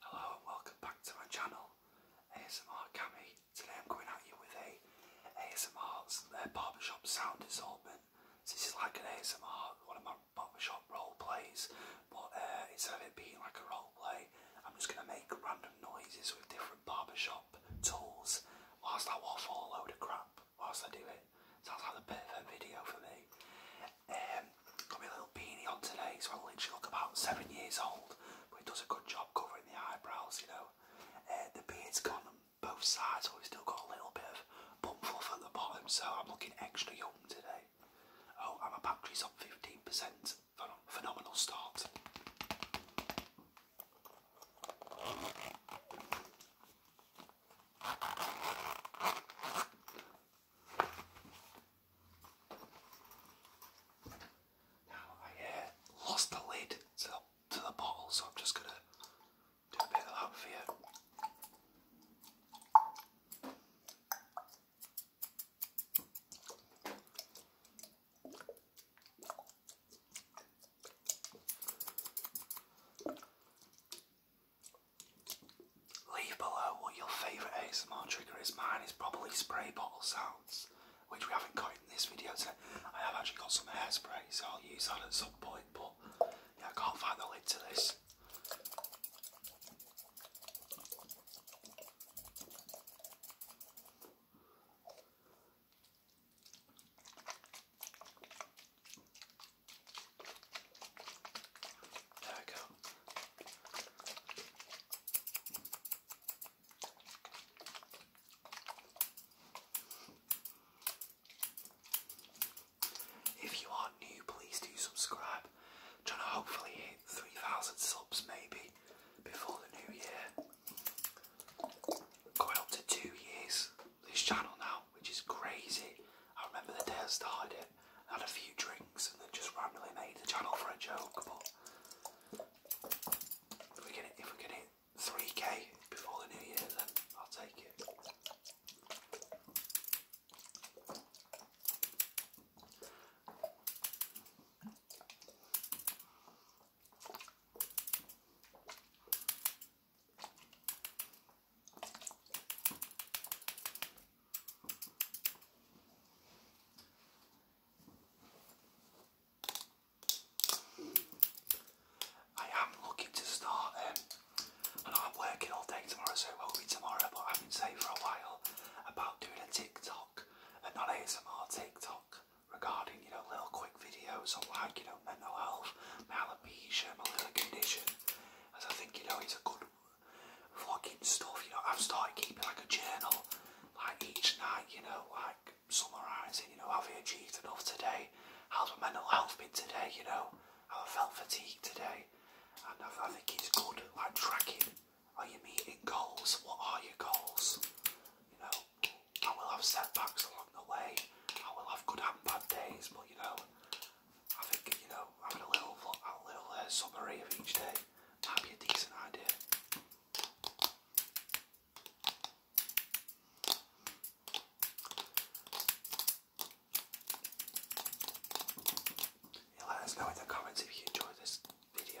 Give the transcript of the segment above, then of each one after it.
Hello and welcome back to my channel ASMR Cammy. Today I'm going at you with a ASMR barbershop sound assortment. So this is like an ASMR, one of my barbershop role plays, but uh, instead of it being like a role play, I'm just going to make random noises with different barbershop tools whilst I waffle a load of crap whilst I do it. Sounds like a bit of a video for me. Um, got my little beanie on today, so I literally look about seven years old, but it does a good job covering the eyebrows, you know. Uh, the beard's gone on both sides, so we still got a little bit of bum fluff at the bottom, so I'm looking extra young today. Oh, and my battery's up 15%. Phenomenal start. Now I uh, lost the lid to the, to the bottle, so I'm just gonna do a bit of that for Leave below what your favourite ASMR trigger is. Mine is probably spray bottle sounds, which we haven't got in this video today. I have actually got some hairspray, so I'll use that at some point, but yeah, I can't find the lid to this. There we go. If you are new, please do subscribe. trying to hopefully hit 3,000 subs maybe before the new year. Going up to two years this channel now, which is crazy. I remember the day I started it, I had a few drinks and then just randomly made the channel for a joke, but if we get it, if we get it 3k before the new year, then I'll take it. I am looking to start, and um, I know I'm working all day tomorrow, so it won't be tomorrow, but I've been saying for a while about doing a TikTok, a non ASMR TikTok, regarding, you know, little quick videos on like, you know, mental health, alopecia, my little condition. As I think, you know, it's a good fucking stuff, you know, I've started keeping like a journal, like each night, you know, like summarising, you know, have we achieved enough today? How's my mental health been today, you know? How I felt fatigued today? And I think it's good, like tracking are you meeting goals? What are your goals? You know, I will have setbacks along the way. I will have good and bad days, but you know, I think you know having a little a little uh, summary of each day might be a decent idea. let us know in the comments if you enjoyed this video.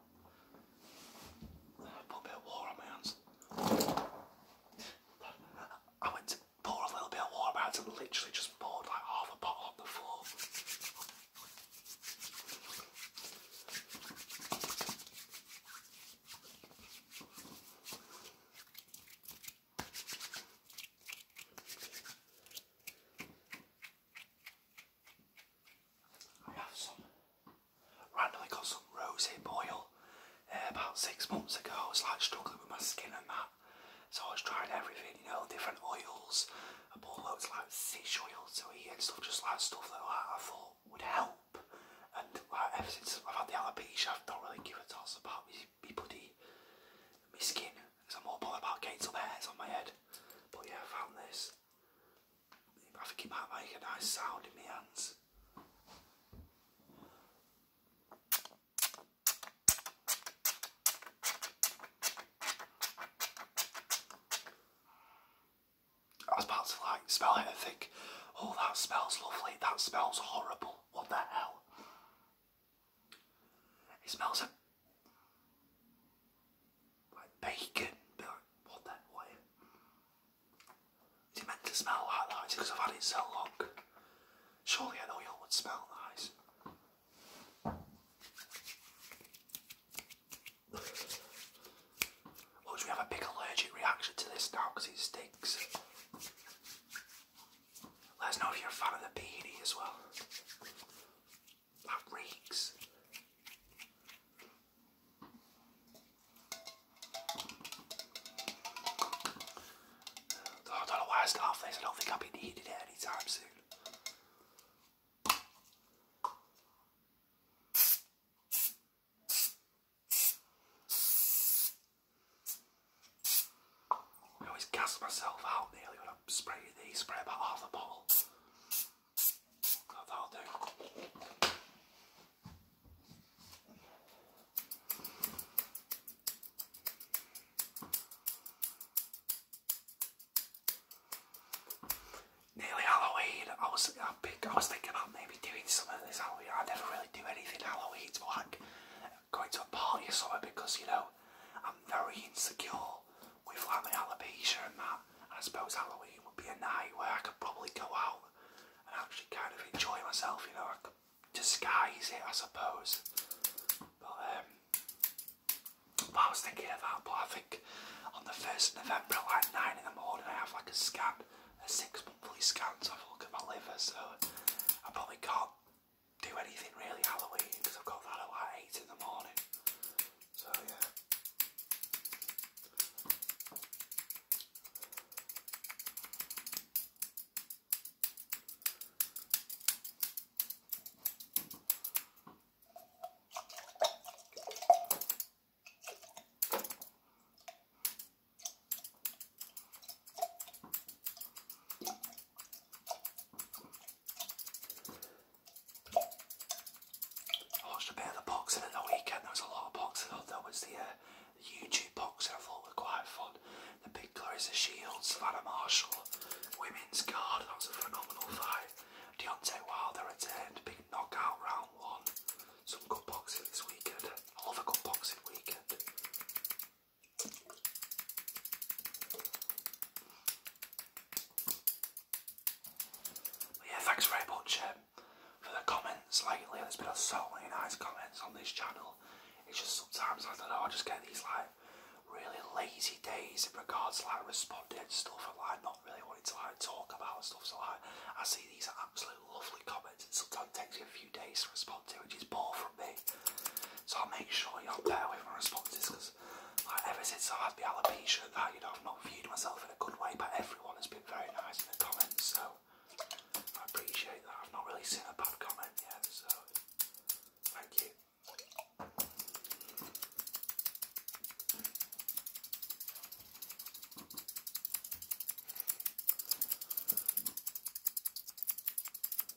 Put a bit of water on my hands. I went to pour a little bit of water out and literally just poured like half a bottle on the floor. I have some, randomly got some rosé boil uh, about six months ago. I was like struggling with my skin and that. So I was trying everything, you know, different oils. I bought loads of like fish oil so eat and stuff, just like stuff that I thought would help. And ever since I've had the alopecia, I have not really give a toss about me, me bloody, my skin. Because I'm more bothered about getting some hairs on my head. But yeah, I found this. I think it might make a nice sound in my hands. I was about to like smell it and think, oh that smells lovely, that smells horrible, what the hell? It smells a like bacon, be like, what the, what is it? Is it meant to smell like that? because I've had it so long. Surely an oil would smell nice. Well, we have a big allergic reaction to this now because it stinks? Let us know if you're a fan of the beanie as well. That reeks. I don't know why I start off this. I don't think I'll be needed it anytime soon. I always gas myself out nearly when I'm these. Spray about half a bottle. Nearly Halloween. I was I, I was thinking about maybe doing something this Halloween. I never really do anything Halloween, but like going to a party or something because you know I'm very insecure with like my alopecia and that. I suppose Halloween would be a night where I could probably go out and actually kind of enjoy myself, you know, I could disguise it I suppose. But um I was thinking about, but I think on the first of November like nine in the morning I have like a scan, a six monthly scan to have a look at my liver, so I probably can't do anything really Halloween because I've got that at 8 in the morning. So yeah. I watched a bit of the boxing in the weekend. There was a lot of boxing There was uh, the, YouTube boxing. I thought was quite fun. The big Clarissa Shields, Savannah Marshall, women's guard. That was a phenomenal fight. Deontay Wilder returned. Big knockout round one. Some good boxing this weekend. All the good boxing weekend yeah, thanks very much um, for the comments lately. There's been so many nice comments on this channel. It's just sometimes, I don't know, I just get these like really lazy days in regards to like responding to stuff and like not really wanting to like talk about stuff. So like, I see these absolute lovely comments and sometimes it takes me a few days to respond to, which is both so I'll make sure you'll with my responses because like, ever since I've the alopecia that, you know, I've not viewed myself in a good way, but everyone has been very nice in the comments, so I appreciate that. I've not really seen a bad comment yet, so thank you.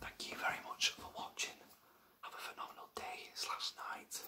Thank you very much for watching. Have a phenomenal day slash night.